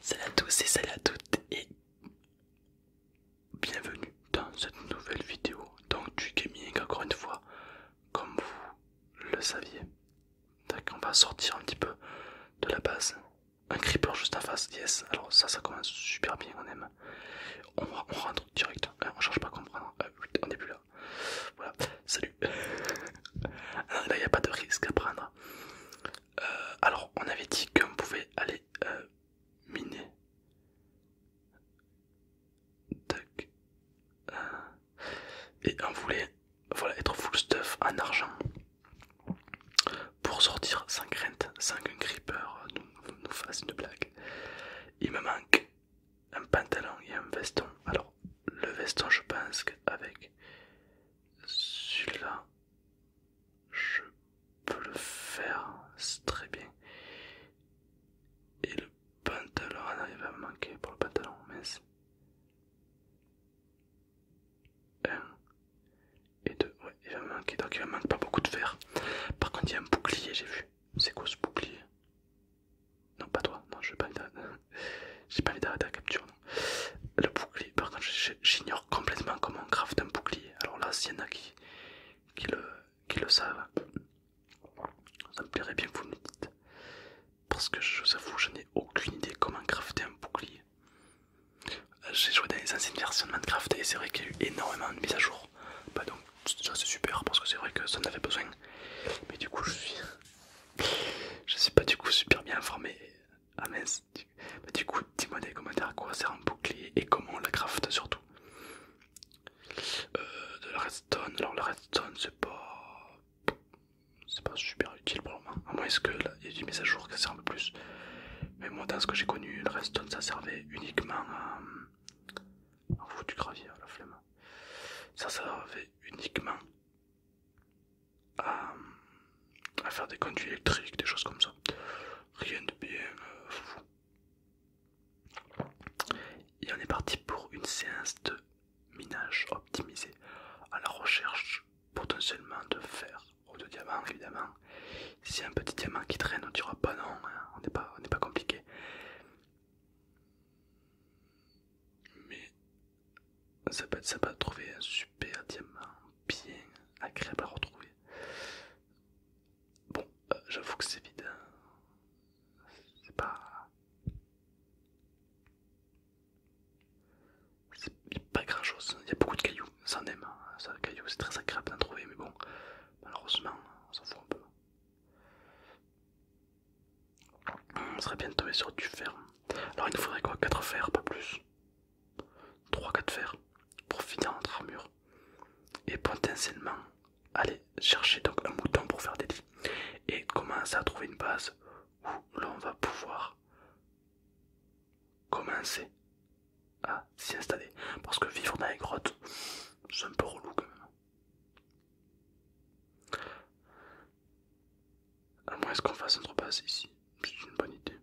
Salut à tous et salut à toutes et bienvenue dans cette nouvelle vidéo donc du gaming encore une fois comme vous le saviez. on va sortir un petit peu de la base. Un creeper juste en face, yes, alors ça ça commence super bien, on aime. On, rentre direct, euh, on cherche pas à comprendre. Euh, on est plus là. Voilà, salut. Euh, là, il n'y a pas de risque à prendre. alors, on avait dit qu'on pouvait aller miner. et on voulait voilà, être full stuff en argent pour sortir sans crainte, sans qu'un creeper nous, nous fasse une blague. Il me manque un pantalon et un veston. Alors, le veston, je pense qu'avec celui-là, je peux le faire très bien. Et le pantalon, on arrive à me manquer pour le pantalon, mince. un et deux ouais, il va me manquer, donc il manque pas beaucoup de fer. Par contre, il y a un bouclier, j'ai vu. C'est quoi ce bouclier Non, pas toi, non, je n'ai pas envie d'arrêter la capture. Le bouclier, par contre, j'ignore complètement comment on un bouclier. Alors là, s'il y en a qui, le, savent, ça me plairait bien que vous me le dites. Parce que je vous avoue, je n'ai aucune idée comment crafter un bouclier. Euh, j'ai joué dans les anciennes versions de Minecraft et c'est vrai qu'il y a eu énormément de mises à jour. Bah donc ça c'est super parce que c'est vrai que ça en avait besoin. Mais du coup je suis... je suis pas du coup super bien informé. Ah mince. Bah, du coup dis-moi des commentaires à quoi sert un bouclier et comment on la craft surtout. Euh, de la redstone. Alors la redstone c'est pas... C'est pas super utile pour le moment. À moins que là il y a du mise à jour qui sert un peu plus. Mais moi, dans ce que j'ai connu, le redstone ça servait uniquement à. du gravier, la flemme. Ça servait uniquement à, faire des conduits électriques, des choses comme ça. Rien de bien euh, fou. Et on est parti pour une séance de minage optimisé à la recherche potentiellement de fer Oh de diamants évidemment. Si un petit diamant qui traîne, on dira pas non, hein. on n'est pas, on pas compliqué. Mais ça peut être sympa de trouver un super diamant bien agréable à retrouver. Bon, euh, j'avoue que c'est vide. Hein. C'est pas. Il pas grand chose, il y a beaucoup de cailloux ça aime, hein. ça, caillou, c'est très agréable d'en trouver, mais bon, malheureusement, on s'en fout un peu. On hmm, serait bien de tomber sur du fer. Alors il nous faudrait quoi 4 fers, pas plus. 3-4 fers pour finir notre armure. Et potentiellement aller chercher donc un mouton pour faire des lits. Et commencer à trouver une base où l'on va pouvoir commencer à ah, s'y installer. Parce que vivre dans les grottes, c'est un peu relou quand même. À moins qu'on fasse un repas ici, c'est une bonne idée.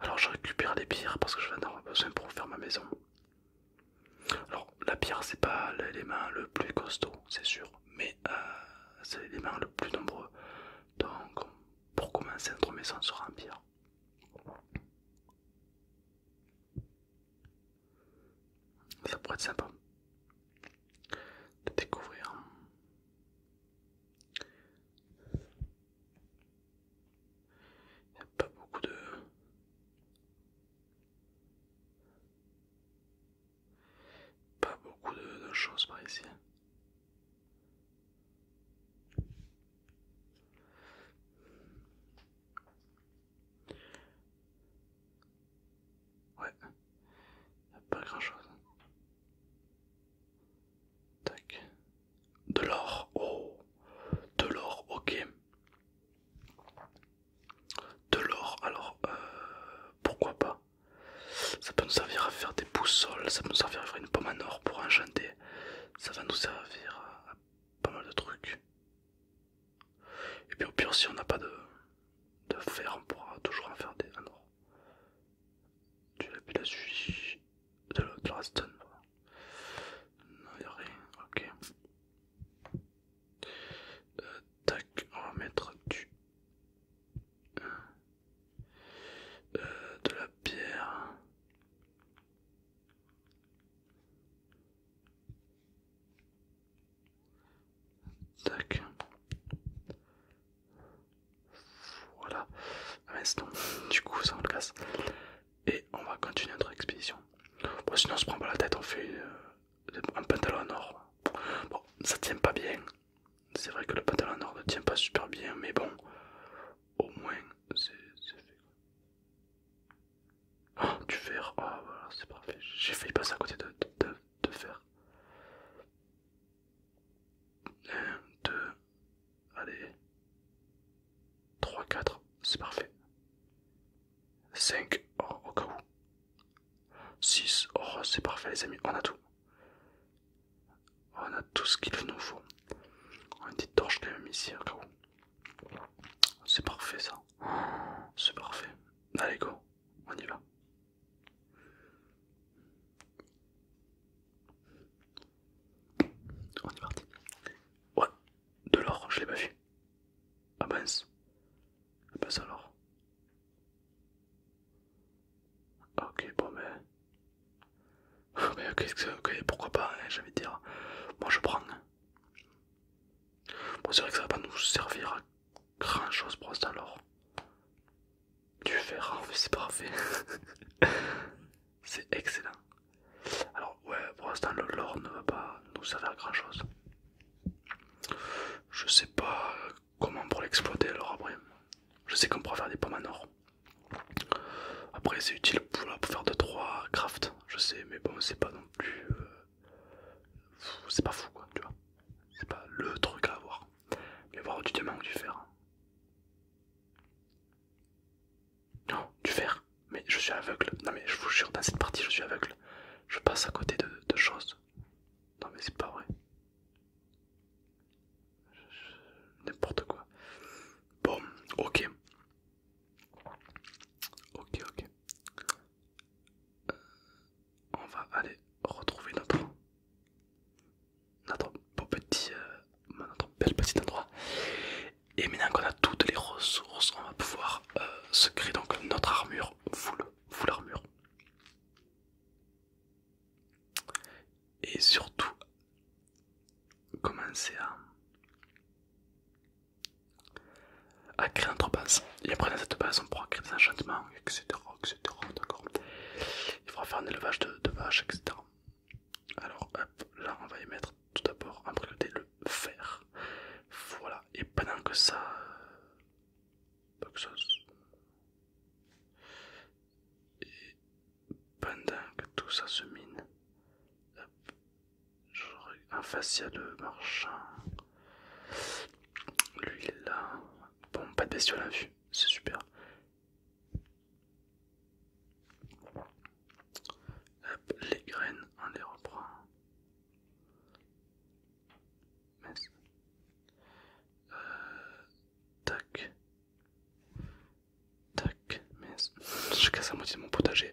Alors je récupère les pierres parce que je vais en avoir besoin pour faire ma maison. Alors la pierre c'est pas l'élément le plus costaud, c'est sûr mais euh, c'est c'est l'élément le plus nombreux. Donc, pour commencer, notre maison sera en pire Ça pourrait être sympa de découvrir. Il n'y a pas beaucoup de... Pas beaucoup de, choses par ici. Ouais, pas grand chose. Tac. De l'or, oh, de l'or, ok. De l'or, alors euh, pourquoi pas Ça peut nous servir à faire des boussoles, ça peut nous servir à faire une pomme en or pour enchanter, ça va nous servir à pas mal de trucs. Et puis au pire, si on n'a pas de, de fer, on pourra toujours en faire des en or. Tu l'as vu la de la stone. Non, y'a rien, ok tac, on va mettre du. Euh, de la pierre. Tac. Voilà. Ah, mais du coup, ça on le casse. Et on va continuer notre expédition. sinon, on se prend pas la tête, on fait euh, un pantalon en or. Bon, ça tient pas bien. C'est vrai que le pantalon en or ne tient pas super bien, mais bon, au moins c'est fait. oh, du fer, voilà, c'est parfait. J'ai failli passer à côté de, de, fer. 1, 2, allez. 3, 4, c'est parfait. 5, oh, au cas où. 6. Oh, c'est parfait, les amis, on a tout. On a tout ce qu'il nous faut. On a une petite torche quand même ici, au cas où. C'est parfait ça. C'est parfait. Allez, go, on y va. On est parti. Ouais, de l'or, je l'ai pas vu. Ah ben, Ah mince ah bah alors. Ah, ok, bon mais... mais ok, pourquoi pas, hein, j'ai envie de dire. Moi je prends. Bon, c'est vrai que ça va pas nous servir à grand chose pour l'instant l'or Tu verras, c'est parfait. c'est excellent. Alors, ouais, pour l'instant, le ne va pas nous servir à grand chose. Je sais pas comment pour l'exploiter alors après. Je sais qu'on pourra faire des pommes en or. Après c'est utile pour, faire de 3 crafts, je sais, mais bon c'est pas non plus... Euh, c'est pas fou quoi, tu vois. C'est pas le truc à avoir. Mais voir du diamant ou du fer. Non, du fer. Mais je suis aveugle. Non mais je vous jure, dans cette partie je suis aveugle je passe à côté de, choses. Non mais c'est pas vrai. N'importe quoi. Bon, ok. Ok, ok. Euh, on va aller retrouver notre, beau petit, euh, notre bel petit endroit. Et maintenant qu'on a toutes les ressources, on va pouvoir euh, se créer donc notre armure, full, full armure. Et surtout, commencer à, créer notre base. Et après, dans cette base, on pourra créer des enchantements, etc. etc. Il faudra faire un élevage de, de vaches, etc. Alors, hop, là, on va y mettre tout d'abord en priorité le fer. Voilà, et pendant que ça. Euh, que ça et pendant que tout ça se mine, hop, un fascia euh, marchand. Lui il est là. Bon, pas de bestiole à hein, vue, c'est super. les graines, on les reprend. Mince. Euh, tac. Tac. Mince. Je casse à moitié de mon potager.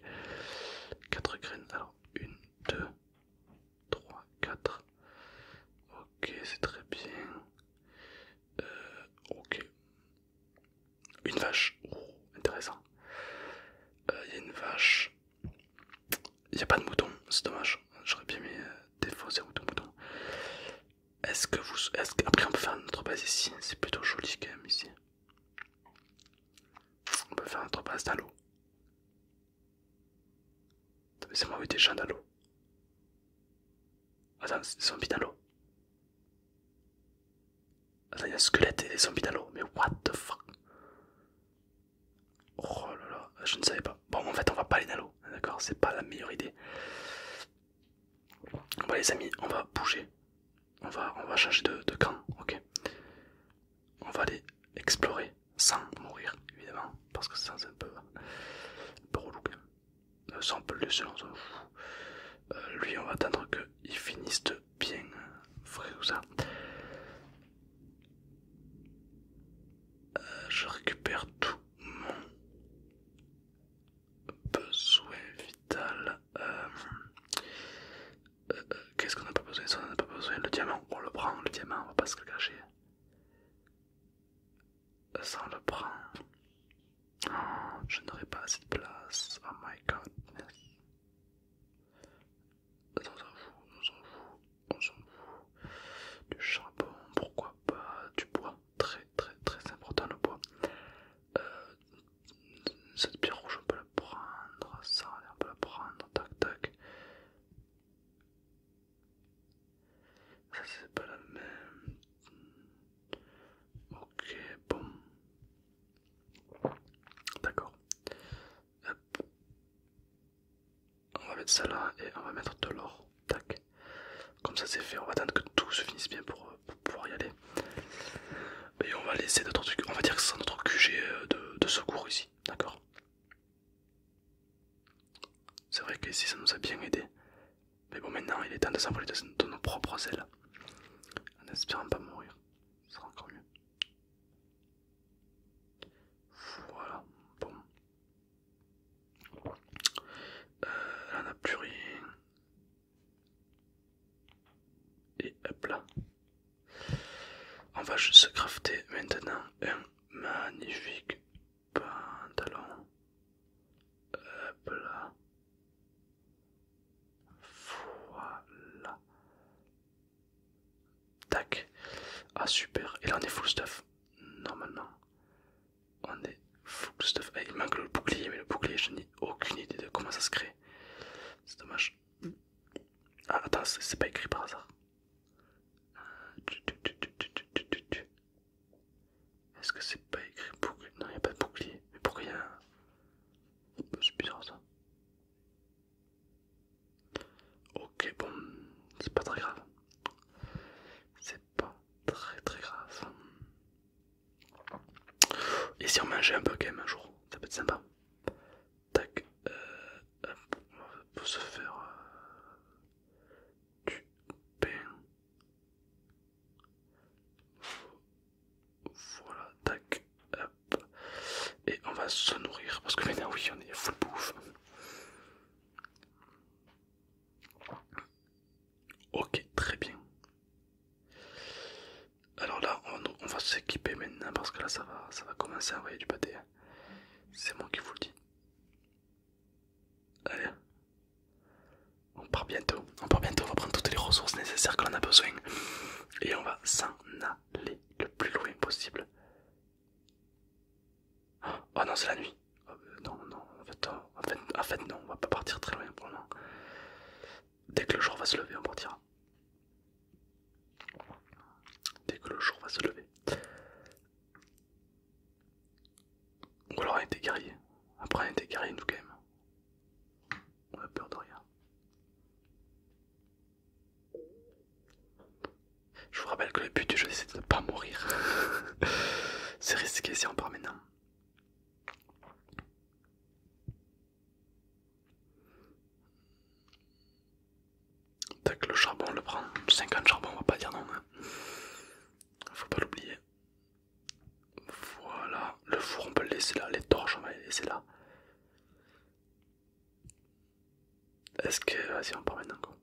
4 graines. Alors, 1, 2, 3, 4. Ok, c'est très bien. Euh, ok. Une vache. Oh, intéressant. Euh, il y a une vache. Il a pas de mouton, c'est dommage. J'aurais bien mis des faux mouton. Est-ce que vous. Est -ce Après, on peut faire notre base ici. C'est plutôt joli quand même ici. On peut faire notre base dans l'eau. C'est moi des déjà dans l'eau. Attends, c'est des dans l'eau il y a un squelette et des zombies dans l'eau. Mais what the fuck Oh là là, je ne savais pas. Bon, en fait, on va pas aller dans l'eau. D'accord, c'est pas la meilleure idée. Bon, les amis, on va bouger. On va, on va changer de, camp, ok On va aller explorer sans mourir, évidemment, parce que ça c'est un peu, un peu relou euh, Sans ça, on peut le euh, laisser, lui, on va attendre qu'il finisse de bien vrai ça. Euh, je récupère tout mon besoin vital. Euh, euh, qu'est-ce qu'on a pas besoin Ça, Le diamant, on le prend, le diamant, on va pas se le cacher. Sans le prend. Oh, je n'aurai pas assez de place. Oh my god. On s'en fout, on s'en fout, Du charbon, pourquoi pas, du bois, très très très important le bois. Euh, cette pierre rouge, on peut la prendre, ça, on peut la prendre, tac tac. Ça, c'est pas la même. Ok, bon. D'accord. On va mettre ça là et on va mettre de l'or. Tac. Comme ça c'est fait. On va attendre que tout se finisse bien pour, euh, pouvoir y aller. Et on va laisser notre truc. On va dire que c'est notre QG euh, de, secours ici. D'accord. C'est vrai qu'ici ça nous a bien aidé. Mais bon maintenant il est temps de s'envoler de nos propres ailes. En espérant pas mourir ça sera encore mieux. Voilà, bon. on euh, n'a plus rien. Et hop là. On va juste crafter maintenant un magnifique pantalon. Hop là. Voilà. Tac. Ah super. Et là on est full stuff. Normalement. On est full stuff. Eh, il manque le bouclier, mais le bouclier, je n'ai aucune idée de comment ça se crée. C'est dommage. Ah attends, c'est pas écrit par hasard. Est-ce que c'est pas écrit bouclier Non, il a pas de bouclier. Mais pourquoi il y a un... C'est bizarre ça. Ok, bon, c'est pas très grave. C'est pas très très grave. Et si on mangeait un peu un jour, ça peut être sympa. Tac, euh, se faire euh, du pain voilà, tac, Et on va se nourrir parce que maintenant, oui, on est full bouffe. Ok, très bien. Alors là, on, va s'équiper maintenant parce que là, ça va, ça va commencer à envoyer du pâté. Hein. C'est moi qui vous le dis. Allez, on part bientôt, on part bientôt, on va prendre toutes les ressources nécessaires que l'on a besoin et on va s'en aller le plus loin possible. Oh non, c'est la nuit. Oh, euh, non, non, euh, en fait, non, on va pas partir très loin pour le moment. Dès que le jour va se lever, on partira. Dès que le jour va se lever. Ou alors été des guerriers. Après, a des guerriers, nous, quand même. On a peur de rien. Je vous rappelle que le but du jeu c'est de ne pas mourir. c'est risqué si on part maintenant. Tac, le charbon on le prend. 50 charbon, on va pas dire non. Hein. Faut pas l'oublier. Voilà, le four on peut le laisser là, les torches on va les laisser là. Est-ce que... Vas-y on part maintenant quoi.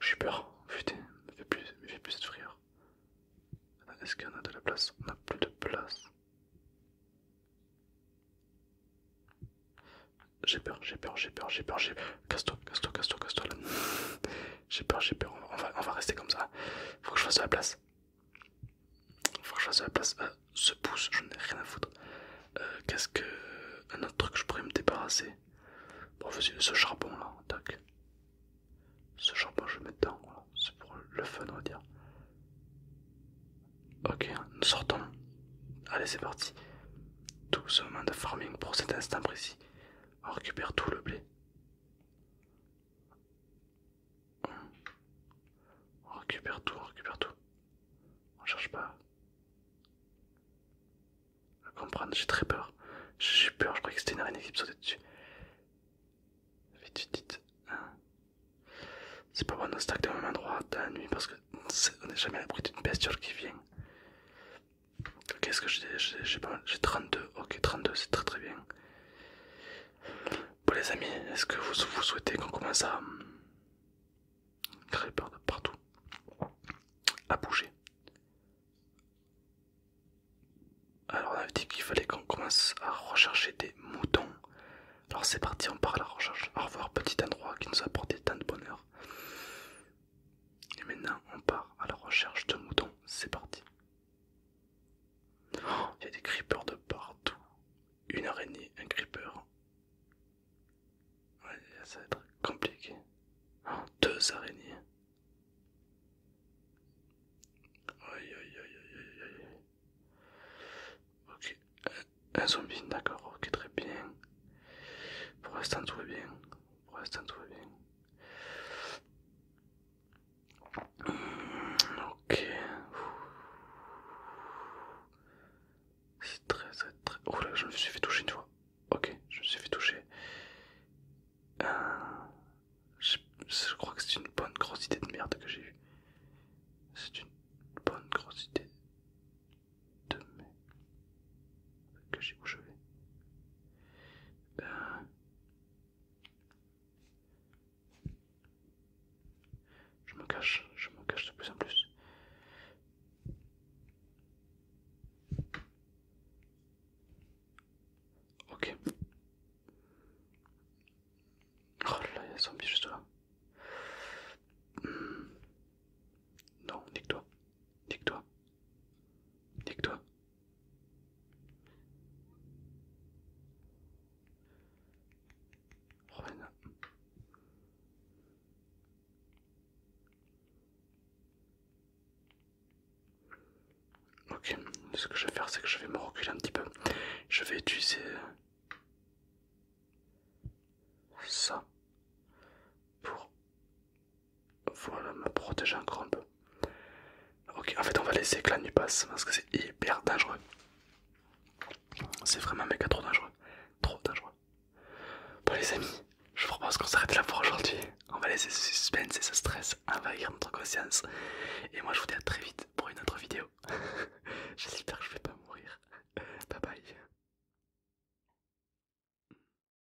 J'ai peur, putain, me fait plus, me plus de frire. Est-ce qu'on a de la place On a plus de place. J'ai peur, j'ai peur, j'ai peur, j'ai peur, j'ai... peur. Casse-toi, casse-toi, casse-toi, casse-toi là. J'ai peur, j'ai peur. On va, rester comme ça. Faut que je fasse de la place. Faut que je fasse de la place. Euh, ce pouce, je n'ai rien à foutre. Euh, qu'est-ce que. Un autre truc, je pourrais me débarrasser. Bon, vas ce charbon là, tac. Ce charbon, je vais mettre dedans. C'est pour le fun, on va dire. Ok, nous sortons. Allez, c'est parti. Tout ce moment de farming pour cet instant précis. On récupère tout le blé. On récupère tout, on récupère tout. On cherche pas à comprendre, j'ai très peur. J'ai peur, je croyais que c'était une araignée qui sautait dessus. Vite, vite, vite. Hein. c'est pas bon, on stack de la même endroit dans la nuit parce qu'on est, n'est jamais à l'abri d'une bestiole qui vient. Qu'est-ce que j'ai J'ai 32. Ok, 32, c'est très très bien. Bon les amis, est-ce que vous, souhaitez qu'on commence à hum, créer partout À bouger Alors on avait dit qu'il fallait qu'on commence à rechercher des moutons. Alors c'est parti, on part à la recherche. Au revoir petit endroit qui nous a apporté tant de bonheur. Et maintenant on part à la recherche de moutons. C'est parti. Oh, il y a des creepers de partout. Une araignée, un creeper. ça va être compliqué. Oh, deux araignées. Aïe aïe aïe aïe Ok, un, euh, un zombie, d'accord, ok, très bien. Pour l'instant, tout va bien. Pour l'instant, tout va bien. Ok. C'est très, très, très. Oh là, je me suis fait toucher une fois. Ok, je me suis fait toucher. Euh, je... crois que c'est une bonne grosse idée de merde que j'ai eue. C'est une bonne grosse idée de merde que j'ai où euh, je me cache, je me cache de plus en plus. Ok. Oh là, il y a un juste là. Hmm. Non, nique-toi. Nique-toi. Nique-toi. Ok, ce que je vais faire, c'est que je vais me reculer un petit peu. Je vais utiliser ça pour voilà, me protéger encore un peu. Ok, en fait, on va laisser que la nuit passe parce que c'est hyper dangereux. C'est vraiment mec trop dangereux. Trop dangereux. Bon, les amis, je vous propose qu'on s'arrête là pour aujourd'hui. On va laisser ce suspense et ce stress envahir notre conscience. Et moi, je vous dis à très vite pour une autre vidéo. J'espère que je vais pas mourir. Bye bye.